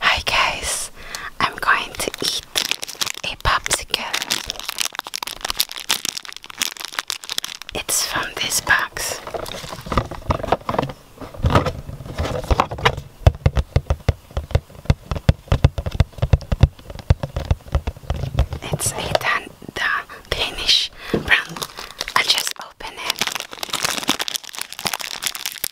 Hi guys, I'm going to eat a popsicle. It's from this box. It's a Dan the Danish brand. I just open it.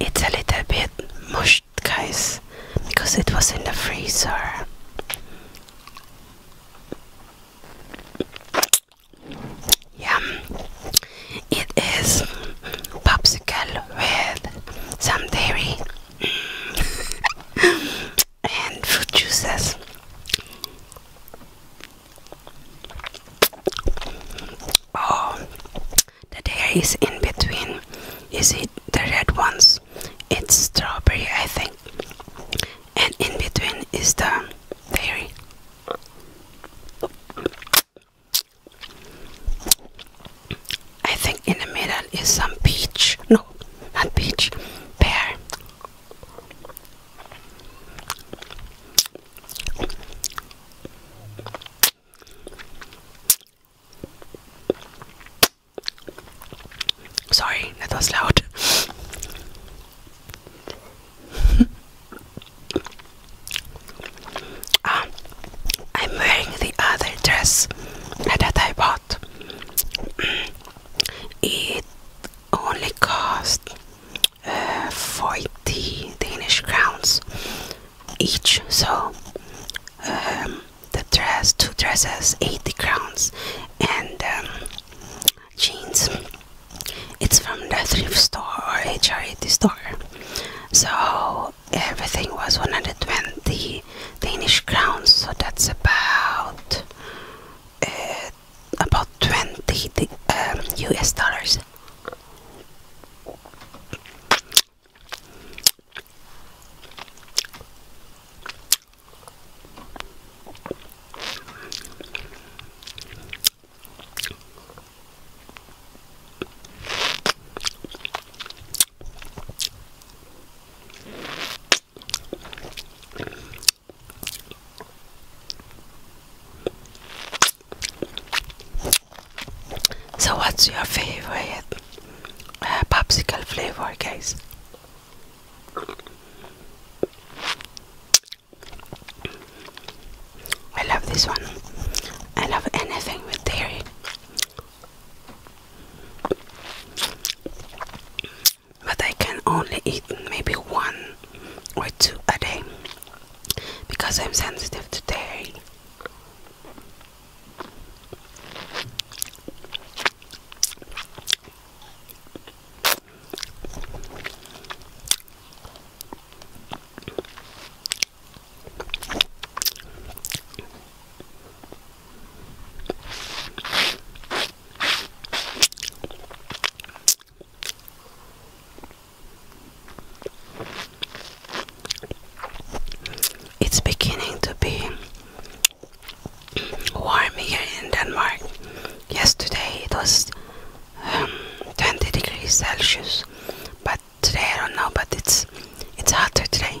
It's a little bit mushed, guys, because it was in the freezer. Yum! It is popsicle with some dairy. and fruit juices. Oh, the there is in between. Is it the red ones? It's strawberry, I think. And in between is the dairy. I think in the middle is some peach. No, not peach, pear. Sorry, that was loud. um, I'm wearing the other dress that I bought it only cost eh, 40 Danish crowns each, so um, the dress, two dresses, 80 crowns, and um, jeans. It's from the thrift store or a charity store, so everything was 120 Danish crowns, so that's about uh, about 20 US um, dollars. So, what's your favorite uh, popsicle flavor, guys? I love this one. I love anything with dairy but I can only eat maybe one or two a day because I'm sensitive today. It's beginning to be warm here in Denmark. Yesterday it was um, 20 degrees Celsius, but today I don't know. But it's it's hotter today.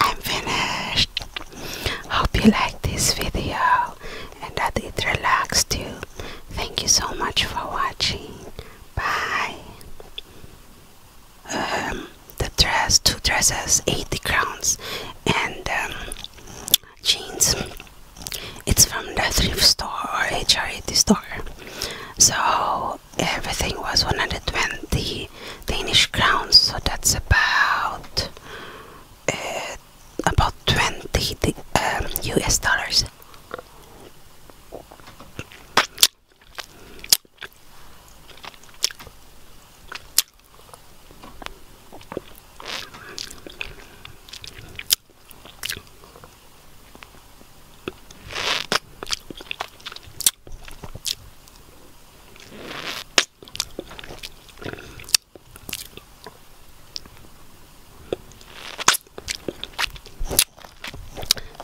I'm finished. Hope you liked this video and that it relaxed you. Thank you so much for watching. Bye. Um, the dress, two dresses, 80 crowns, and um, jeans. It's from the thrift store or HRAT store. So everything was 120 Danish crowns, so that's about uh, about 20 US um, dollars.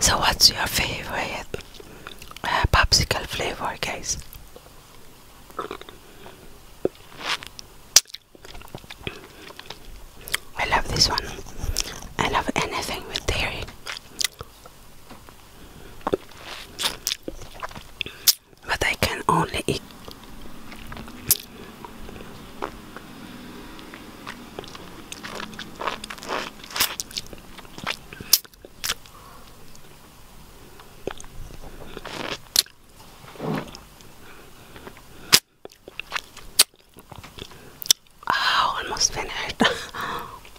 So, what's your favorite uh, popsicle flavor, guys? I love this one. I love anything with dairy. But I can only eat. Oh, almost finished.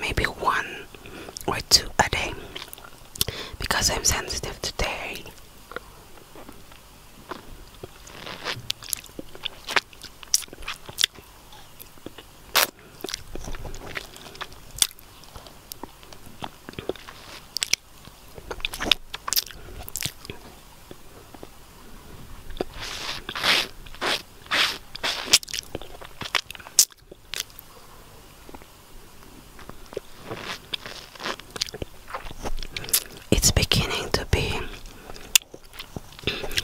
Maybe one or two a day because I'm sensitive today. It's beginning to be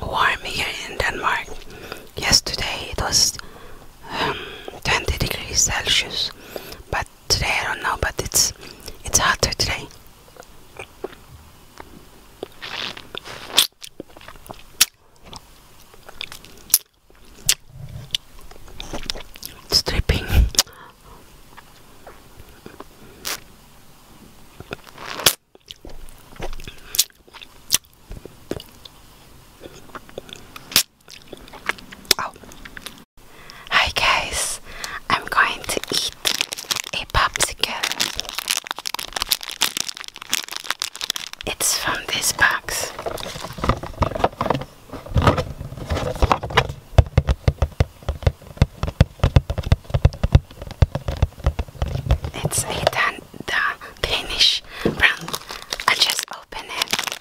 warm here in Denmark. Yesterday it was um, 20 degrees Celsius, but today I don't know. But it's it's hotter today. It's dripping. Oh. Hi guys, I'm going to eat a popsicle. It's from this box. It's a Danish brand. I'll just open it.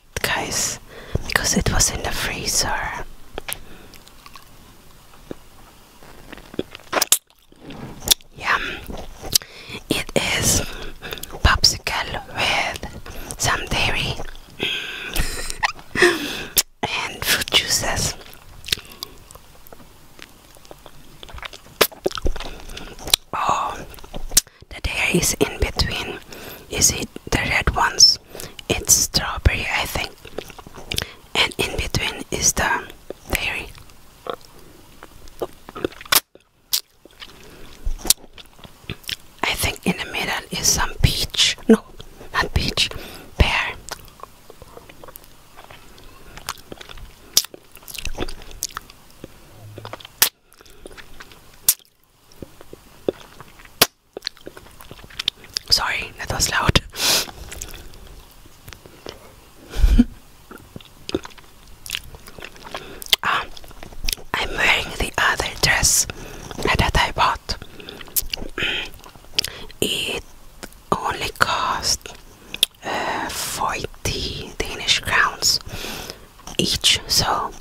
guys because it was in the freezer yeah it is popsicle with some dairy and fruit juices Oh, the dairy is in between. Is it the red ones it's strawberry I think and in between is the dairy I think in the middle is some peach no not peach pear Sorry, that was loud. Um, I'm wearing the other dress that I bought. it only cost uh, 40 Danish crowns each, so